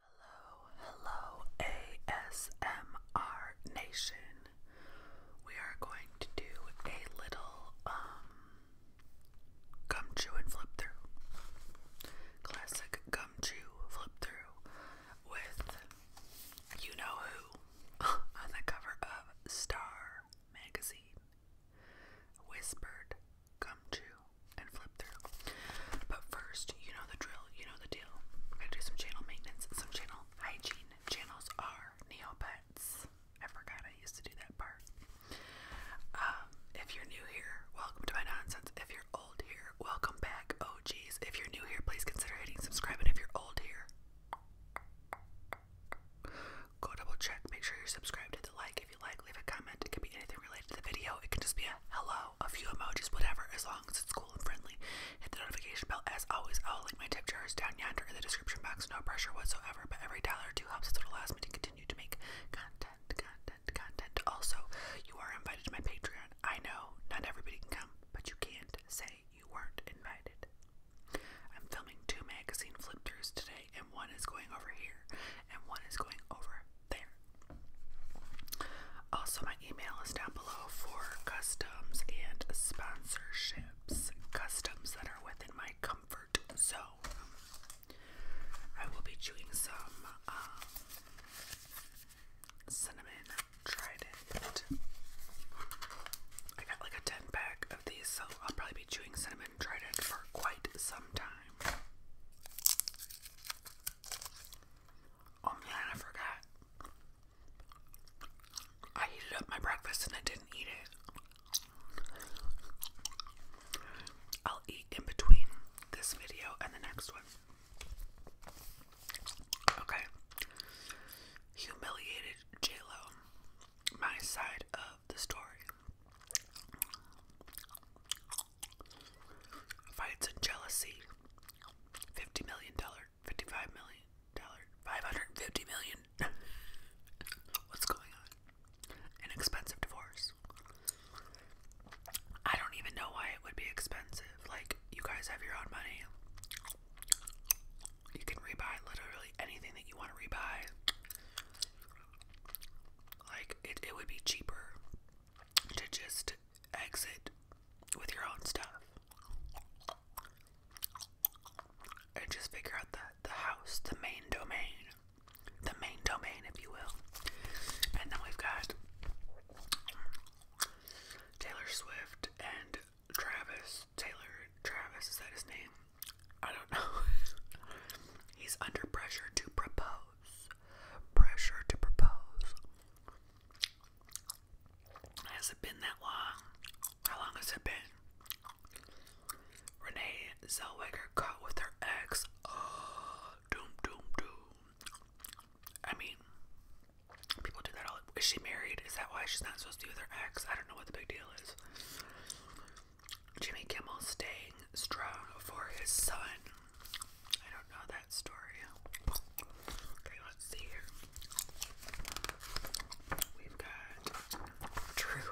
Hello, hello, ASMR Nation. We are going to do a little um, gum chew and flip through. Classic gum chew flip through with you know who on the cover of Star magazine. Whispered come to and flip through. But first, you know the drill, you know the deal. We're gonna do some channel maintenance, some channel hygiene. Channels are Neopets. I forgot I used to do that part. Um, if you're new here, welcome to my nonsense. If you're old here, welcome back. Oh geez. If you're new here, please consider hitting subscribe. And if you're old here, Go double check. Make sure you're subscribed. Hit the like if you like. Leave a comment. It can be anything related to the video. It can just be a hello, a few emojis, whatever, as long as it's cool and friendly. Hit the notification bell. As always, I'll link my tip jars down yonder in the description box. No pressure whatsoever, but every dollar or two helps. It allows me to continue to make content, content, content. Also, you are invited to my Patreon. I know not everybody can come, but you can't say you weren't invited. I'm filming two magazine flip throughs today and one is going over here, and one is going over there. Also, my email is down below for customs and sponsorships, customs that are within my comfort zone. I will be chewing some um, cinnamon trident. I got like a 10 pack these, so I'll probably be chewing cinnamon it for quite some time. Oh man, I forgot. I heated up my breakfast and I didn't eat it. I'll eat in between this video and the next one. Okay. Humiliated J-Lo. My side of the story. Fights and jealousy. Fifty million dollar, fifty-five million dollar, five hundred and fifty million. What's going on? An divorce. I don't even know why it would be expensive. Like you guys have your own money. You can rebuy literally anything that you want to rebuy. Like, it, it would be cheaper to just exit with your own stuff and just figure out the, the house, the main domain, the main domain, if you will. And then we've got Taylor Swift and Travis Taylor. Travis, is that his name? I don't know. He's under pressure to propose. Pressure to propose. Has it been that long? How long has it been? Renee Zellweger caught with her ex. doom, doom, doom. I mean, people do that all. Is she married? Is that why she's not supposed to be with her ex? I don't know what the big deal is. Jimmy Kimmel staying strong for his son. I don't know that story. Okay, let's see here. We've got Drew.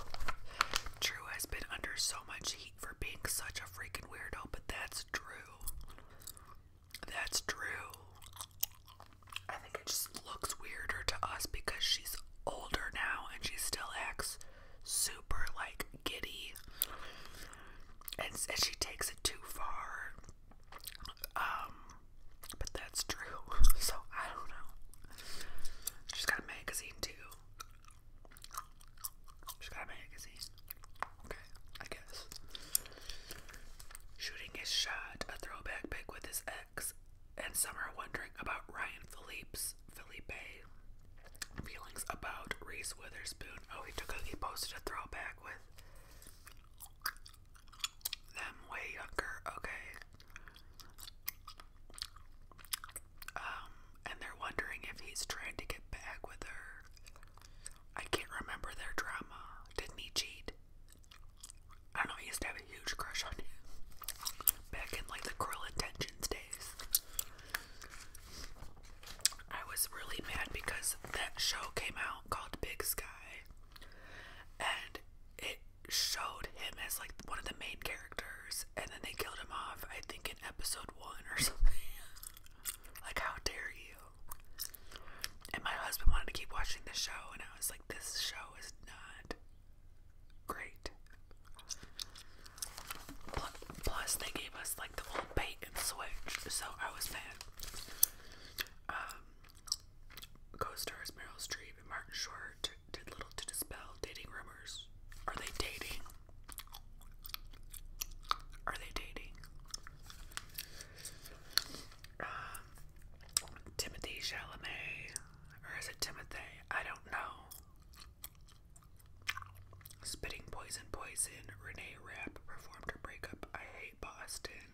Drew has been under so much heat for being such a freaking weirdo, but that's Drew. That's Drew. I think it just looks weirder to us because she's older now and she still acts super like giddy and, and she takes it too far. Um, but that's true. So I don't know. She's got a magazine too. She's got a magazine. Okay, I guess. Shooting his shot, a throwback pic with his ex and some are wondering about Ryan Phillips, Felipe feelings about Reese Witherspoon. Oh, he took a he posted a throwback with them way younger. Okay. Um, and they're wondering if he's trying to get back with her. I can't remember their drama. Didn't he cheat? I know, I used to have a huge crush on him back in like the Cruel Intentions days. I was really mad because that show came out called Big Sky and it showed him as like one of the main characters and then they killed him off, I think, in episode one or something. like, how dare you! And my husband wanted to keep watching the show, and I was like, this show is not great. Plus, they gave us like the old bait and switch, so I was mad. Um, co-stars Meryl Streep and Martin Short did little to dispel dating rumors. Are they dating? Are they dating? Um, Timothy Chalamet or is it Timothy? I don't know. Spitting Poison Poison, Renee Rapp performed her breakup, I Hate Boston.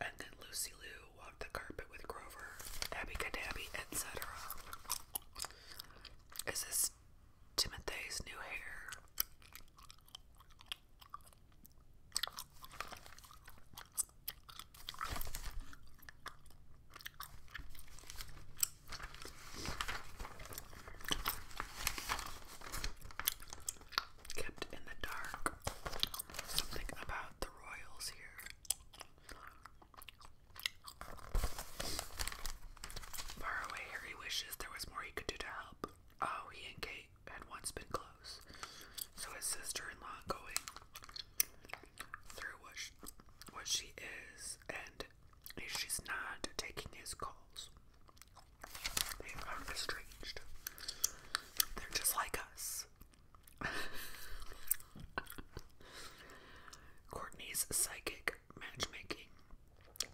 And then Lucy Liu walked the carpet with Grover, Abby Cadabby, etc. Is this Timothy's new hair? Kept in the dark. Something about the royals here. Far away, Harry wishes there was more he could do to help. Oh, he and Kate had once been close, so his sister in law going through what what she is and if she's not taking his calls. They are estranged. They're just like us. Courtney's psychic matchmaking.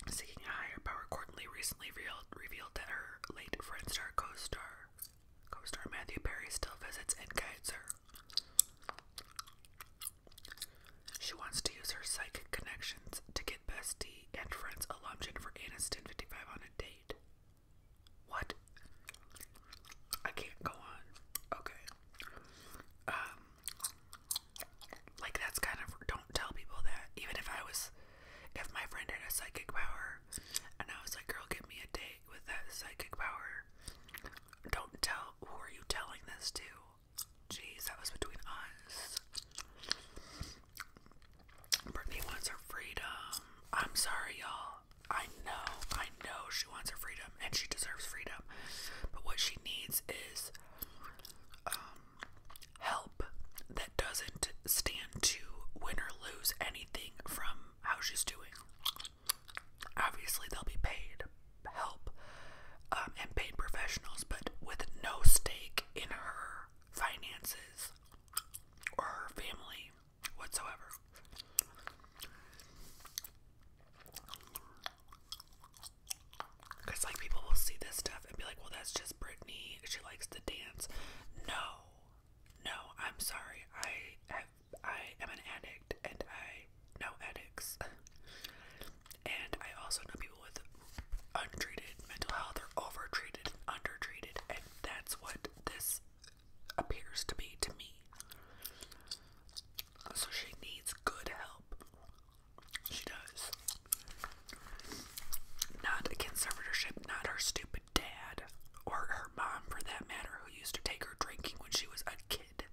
Seeking higher power, Courtney recently revealed, revealed that her late friend star co-star Co-star Matthew Perry still visits and guides her. She wants to use her psychic connections to get bestie and friends alum Jennifer Aniston 55 on a date. What? I can't go on. Okay. Um, like that's kind of don't tell people that. Even if I was, if my friend had a psychic power, and I was like, girl, give me a date with that psychic power. Don't tell. Who are you telling this to? Jeez, that was between us. Brittany wants her freedom. I'm sorry, y'all. I know, I know she wants her freedom and she deserves freedom. But what she needs is um, help that doesn't stand to win or lose anything from how she's doing. Obviously, they'll be paid help um, and paid professionals, but with no stake in her finances or her family whatsoever. Because, like, people will see this stuff and be like, well, that's just Britney. She likes to dance. No, no, I'm sorry. I have, I am an addict, and I know addicts, and I also know people with untreated mental health or overtreated, undertreated, and that's what this appears to be to me. So she needs good help. She does. Not a conservatorship, not her stupid dad or her mom for that matter, who used to take her drinking when she was a kid.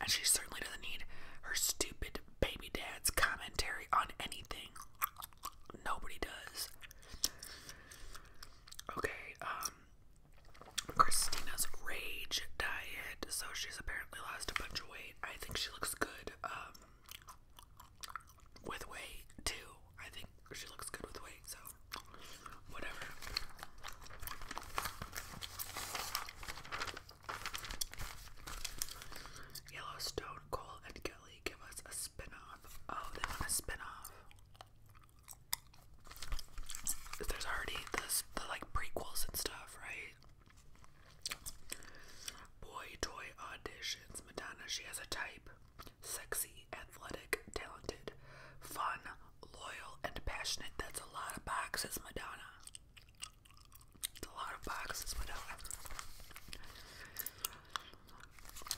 And she certainly doesn't need her stupid baby dad's commentary on anything. Nobody does. Okay, um, Christina's rage diet. So she's apparently lost a bunch of weight. I think she looks good. Um, with weight too. I think she looks good with weight, so whatever. Yellowstone, Cole, and Kelly give us a spin Oh, they want a spin-off. There's already the like prequels and stuff, right? Boy toy auditions. Madonna, she has a type sexy, athletic, talented, fun, loyal, and passionate. That's a lot of boxes, Madonna. It's a lot of boxes, Madonna.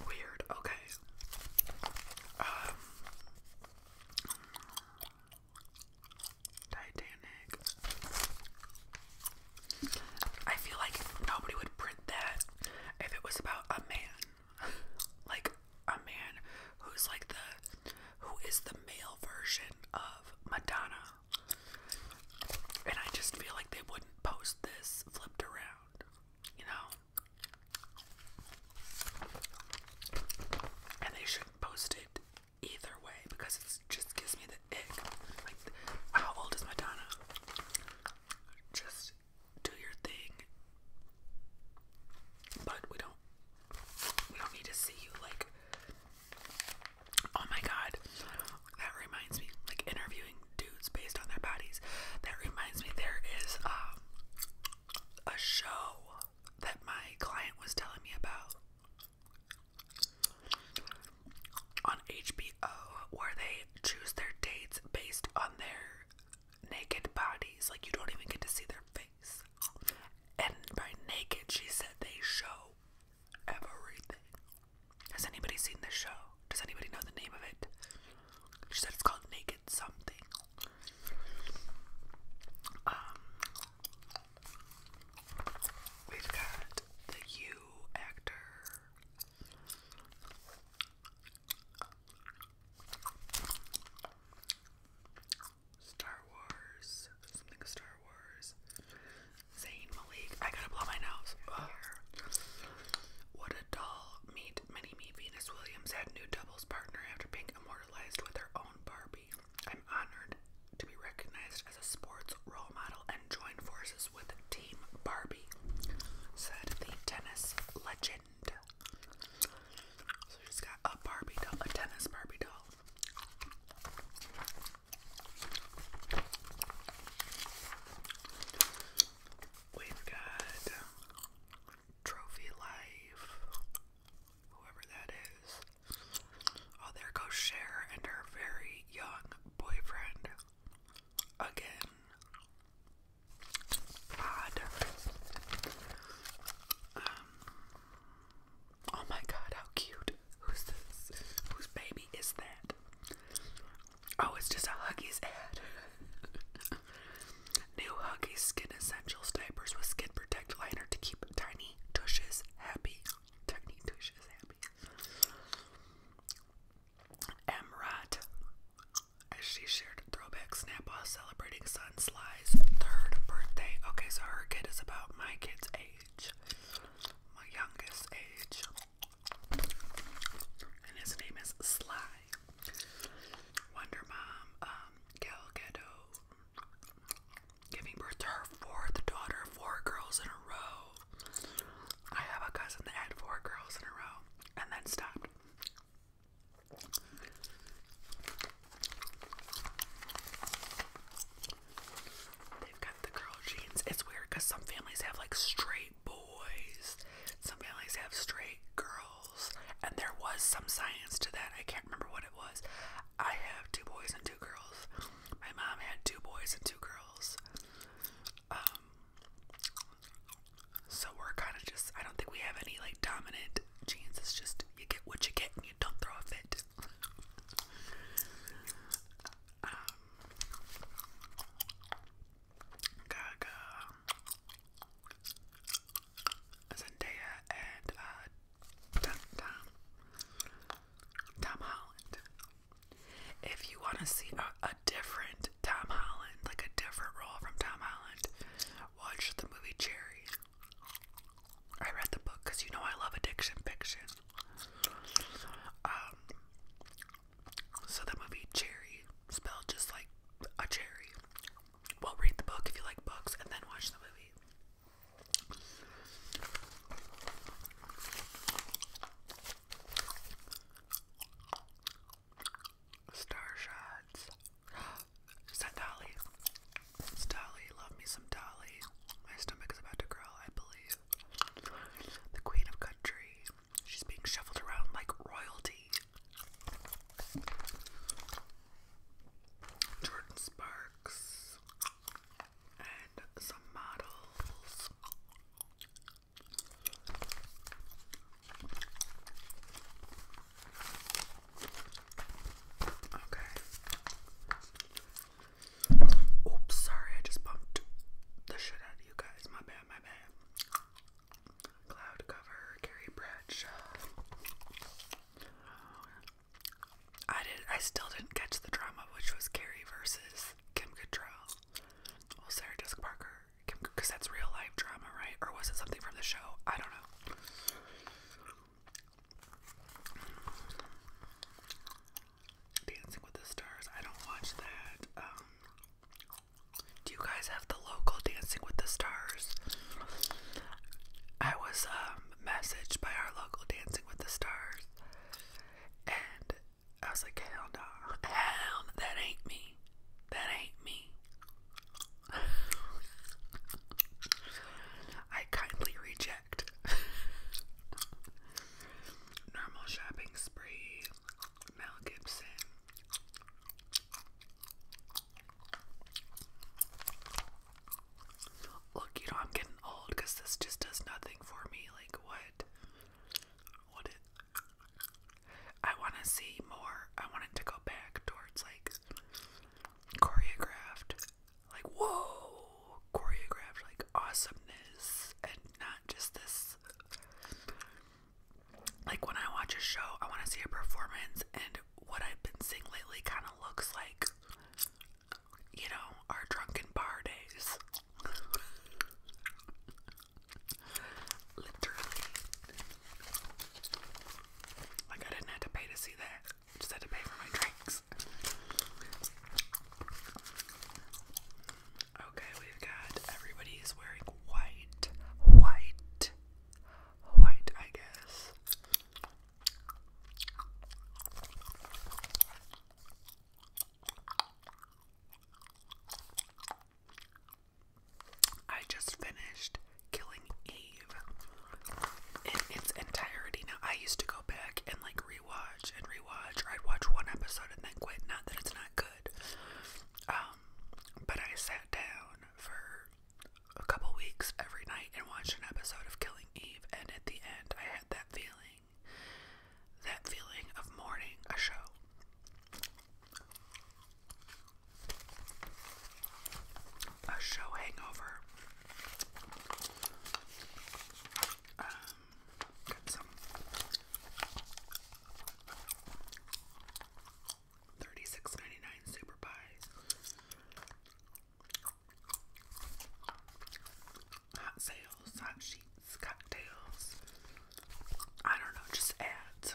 Weird, okay. Um, Titanic. I feel like nobody would print that if it was about a man. like a man who's like the who is the male version of Madonna. And I just feel like they wouldn't post this flipped around, you know? And they shouldn't post it either way because it just gives me the like, how old is Madonna? Just do your thing. But we don't we don't need to see you like oh my god. That reminds me, like interviewing dudes based on their bodies. That reminds me there is um a show that my client was telling me about on HBO where they choose their dates based on their naked bodies. Like you don't even get to see their face. And by naked, she said they show everything. Has anybody seen this show? Does anybody know the name of it? She said it's called Naked Something. Um, we've got the U actor. Star Wars, something Star Wars. Zayn Malik, I gotta blow my nose. What a doll! Meet Mini Me Venus Williams had new doubles partner after being immortalized with her own Barbie. I'm honored to be recognized as a sports role model and join forces with Team Barbie, said the tennis legend. So she's got a Barbie doll, a tennis Barbie doll. We've got Trophy Life, whoever that is. Oh, there goes Cher and her very young boyfriend. Again. Odd. Um, oh my god, how cute. Who's this? Whose baby is that? Oh, it's just a Huggies ad. New Huggies Skin Essentials diapers with skin protect liner to keep tiny tushes happy. Tiny as she shared a throwback snap while celebrating Sun Sly's third birthday. Okay, so her kid is about my kid's age, my youngest age, and his name is Sly. Wonder Mom, um, Gal Gadot, giving birth to her fourth daughter, four girls in a row. I have a cousin that had four girls in a row and then stopped. They've got the girl genes. It's weird because some families have like straight boys, some families have straight girls, and there was some science to that. I can't remember what it was. I have two boys and two girls. My mom had two boys and two girls. Um, so we're kind of just, I don't think we have any like dominant genes. It's just you get what you get and you don't throw a fit. Um, Gaga, Zendaya, and uh, Tom Holland. If you want to see a, different Tom Holland, like a different role from Tom Holland, watch the movie Cherry. I read the book because you know I love addiction fiction. Um, so the movie Cherry, spelled just like a cherry. Well, read the book if you like books, and then watch the movie. Star shots. Is Dolly? Dolly. Love me some Dolly. My stomach is about to growl, I believe. The Queen of Country. She's being shuffled around like royalty. Jordan Sparks and some models. Okay. Oops, sorry, I just bumped the shit out of you guys. My bad, my bad. Cloud cover, Carrie Bradshaw. I did. I still didn't catch the drama, which was Carrie versus Kim Cattrall. Well, Sarah Jessica Parker, Kim, because that's real life drama, right? Or was it something from the show? I don't know. Dancing with the Stars. I don't watch that. Um, do you guys have the local Dancing with the Stars? I was um, messaged by our local Dancing with the Stars. And I was like, hell no. Hell, that ain't me. That ain't me. I kindly reject. Normal shopping spree. Mel Gibson. Look, you know, I'm getting old because this just does nothing for me. Like, what? What I want to see more. I want to go back towards like choreographed, like whoa, choreographed, like awesomeness, and not just this. Like when I watch a show, I want to see a performance, and what I've been seeing lately kind of looks like you know, our drunken bar days. Literally. Like, I didn't have to pay to see that. just had to pay for my drinks. Okay, we've got everybody is wearing white, white, white, I guess. I just finished Killing Eve in its entirety. Now, I used to go back and like rewatch and rewatch, or I'd watch one episode and then quit. Not that it's not good, um, but I sat down for a couple weeks every night and watched an episode of Killing Eve, and at the end, I had that feeling that feeling of mourning a show. A show hangover. Um, 36.99 super pies. Hot sales, hot sheets, cocktails. I don't know, just ads.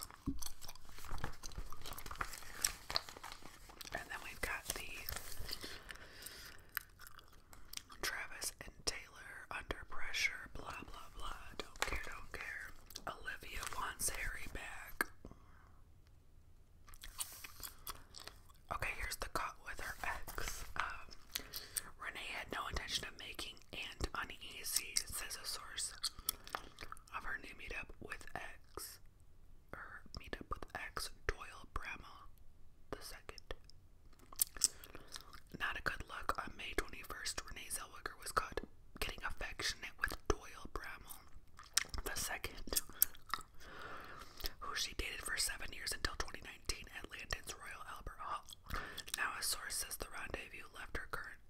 And then we've got the Travis and Taylor under pressure, blah blah blah. Don't care, don't care. Olivia wants Harry back. Okay, here's the cut with her ex. Um, Renee had no intention of making Aunt uneasy, says a source of her new meetup with ex. Her meetup with ex Doyle Bramall the second. Not a good look. On May 21st, Renee Zellweger was caught getting affectionate with Doyle Bramall the second who she dated for seven years until 2019 at Landon's Royal Albert Hall. Now, a source says the rendezvous left her current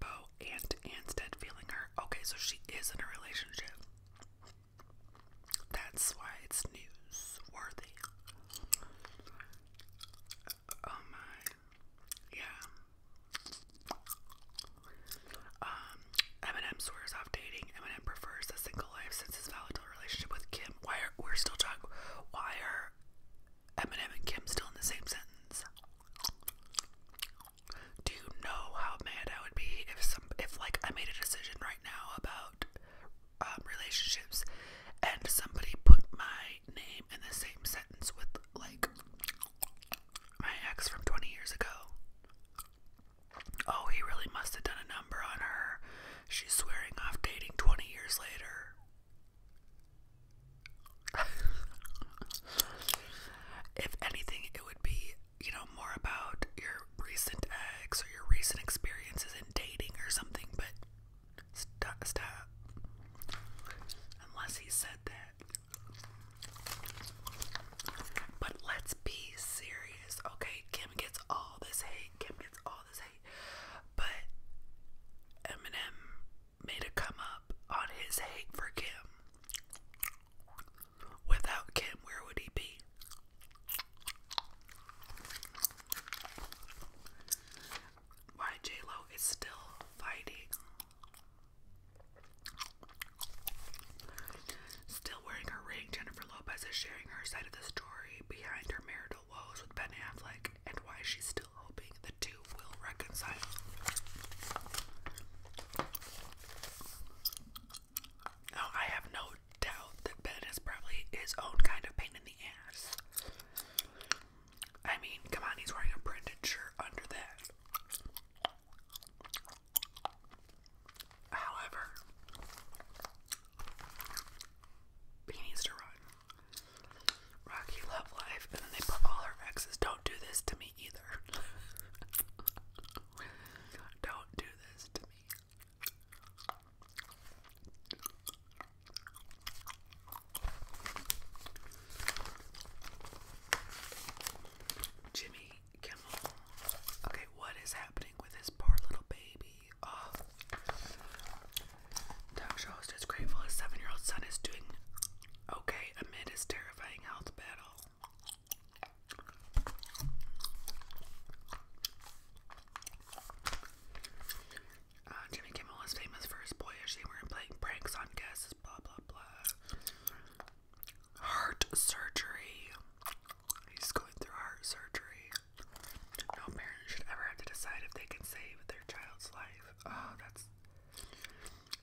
beau and instead feeling her. Okay, so she is in a relationship. That's why it's newsworthy. Oh my. Yeah. Um, Eminem swears off dating. Eminem prefers a single life since his volatile relationship with Kim. Why are we're still talking? Why are Eminem and Kim still in the same sentence? Do you know how mad I would be if some if like I made a decision right now about um, relationships and somebody put my name in the same sentence with like my ex from 20 years ago. Oh, he really must have done a number on her. She's swearing off dating 20 years later. if anything, it would be, you know, more about your recent ex or your recent experiences in dating or something, but stop. Unless he said that. But let's be serious, okay? Kim gets all this hate. Kim gets all this hate. But Eminem made a come up on his hate for Kim. Without Kim, where would he be? Why J Lo is still fighting Still wearing her ring, Jennifer Lopez is sharing her side of the story behind her marital woes with Ben Affleck and why she's still hoping the two will reconcile. Now, I have no doubt that Ben is probably his own kind of pain in the ass. I mean, come on, he's wearing a printed shirt under that. However, he needs to run. Rocky love life, and then they put all her exes. Don't do this to me either. Don't do this to me. Jimmy Kimmel. Okay, what is happening with this poor little baby? Oh. Talk show host is grateful his seven year old son is doing okay amid his terrifying health battle. Uh, Jimmy Kimmel is famous for his boyish humor and playing pranks on guests, blah blah blah. Heart surgery. He's going through heart surgery. No parent should ever have to decide if they can save their child's life. Oh, that's.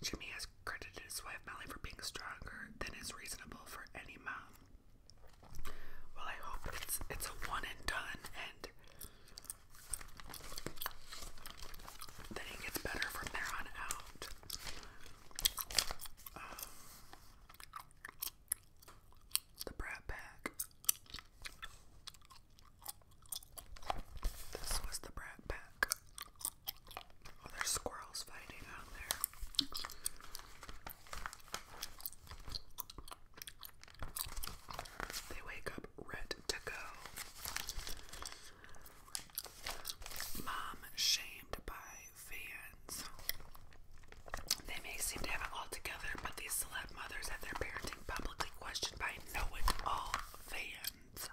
Jimmy has credited his wife Melly for being stronger than is reasonable for any mom. Well, I hope it's it's a one and done, and then it gets better from there on out. Um, the Brat Pack. This was the Brat Pack. Oh, there's squirrels fighting out there. They wake up red to go. Mom shamed by fans. They may seem to have it all together, but these celeb mothers have their parenting publicly questioned by know-it-all fans.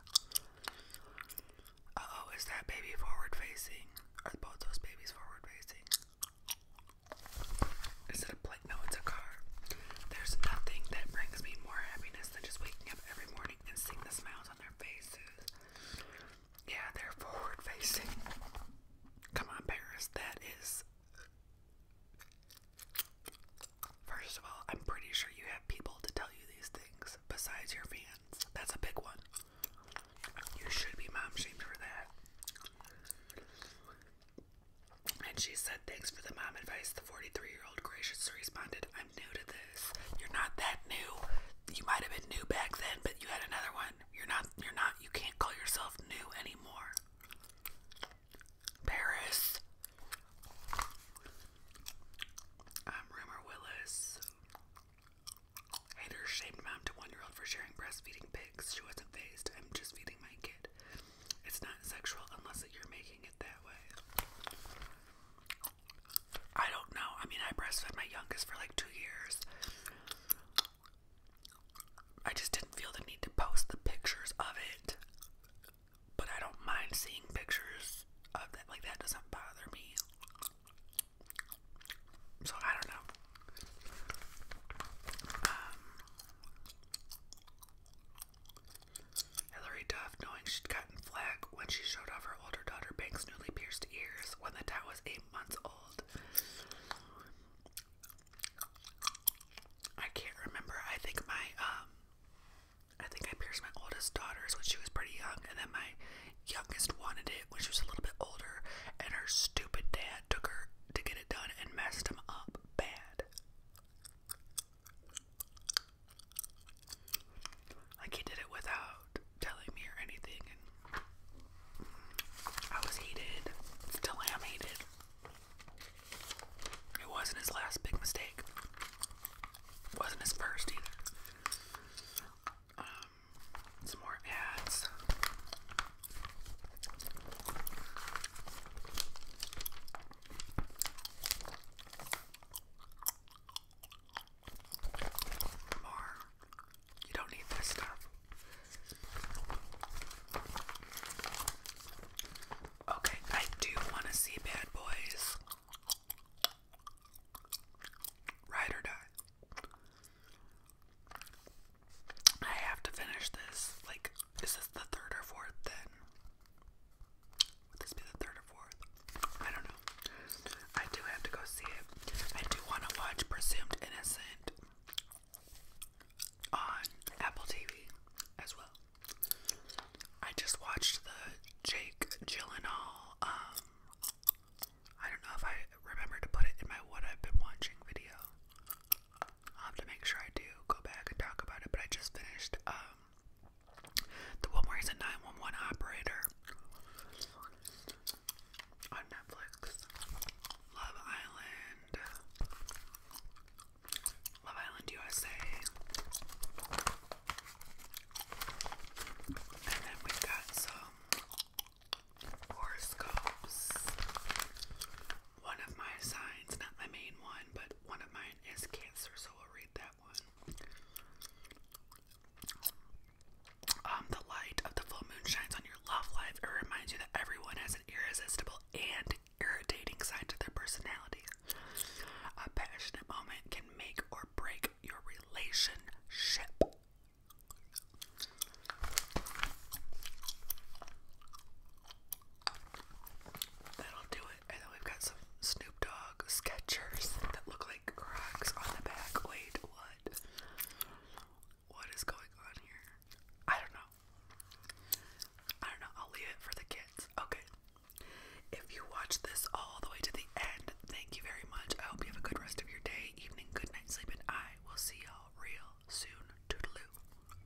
Uh-oh, is that baby forward-facing? Are both those babies forward-facing? Is it a plate? No, it's a car. There's nothing that brings me more happiness than just waking up every morning and seeing the smiles on their faces. Yeah, they're forward facing. Come on, Paris. That is. First of all, I'm pretty sure you have people to tell you these things besides your fans. That's a big one. You should be mom for that. And she said, Thanks for the mom advice. The 43 old graciously responded, I'm new to this. You're not that new. You might have been new back then, but you had another one. You're not, you're not, you can't call yourself new anymore. Paris. I'm Rumor Willis. Haters shamed mom to one year old for sharing breastfeeding pics. She wasn't phased. I'm just feeding my kid. It's not sexual unless you're making it that way. I don't know. I mean, I breastfed my youngest for like two years. I just didn't feel the need to post the pictures of it. But I don't mind seeing pictures of that. Like, that doesn't bother me. So, I don't know. Um, Hillary Duff, knowing she'd gotten flack when she showed off her older daughter Banks' newly pierced ears when the dot was eight months old. I can't remember. I think my um, I think I pierced my oldest daughter's when she was pretty young, and then my youngest wanted it when she was a little bit older, and her stupid dad took her to get it done and messed him up bad. Like he did it without telling me or anything, and I was heated. Still am heated. It wasn't his last big mistake. It wasn't his first either. Um, some more ads. More. You don't need this stuff. Okay, I do want to see Bad Boys. Ride or die. I have to finish this. Like, is this the third or fourth then? Would this be the third or fourth? I don't know. I do have to go see it. I do want to watch Presumed Innocent on Apple TV as well. I just watched the Jake Gyllenhaal. Um, I don't know if I remember to put it in my what I've been watching video. I'll have to make sure I do go back and talk about it, but I just finished um the Wilmore is a 911 operator on Netflix. Love Island. Love Island USA. And then we got some horoscopes one of my signs, not my main one, but one of mine is Cancer, so we'll read that one. Um, the light of the full moon shines on your love life. It reminds you that everyone has an irresistible and irritating side to their personality. A passionate moment can make or break your relationship. That'll do it. And then we've got some Snoop Dogg Skechers that look like Crocs on the back. Wait, what? What is going on here? I don't know. I don't know. I'll leave it for the kids. Okay. If you watch this all the way to the end, thank you very much. I hope you have a good rest of your day, evening, good night, sleep, I will see y'all real soon. Toodaloo.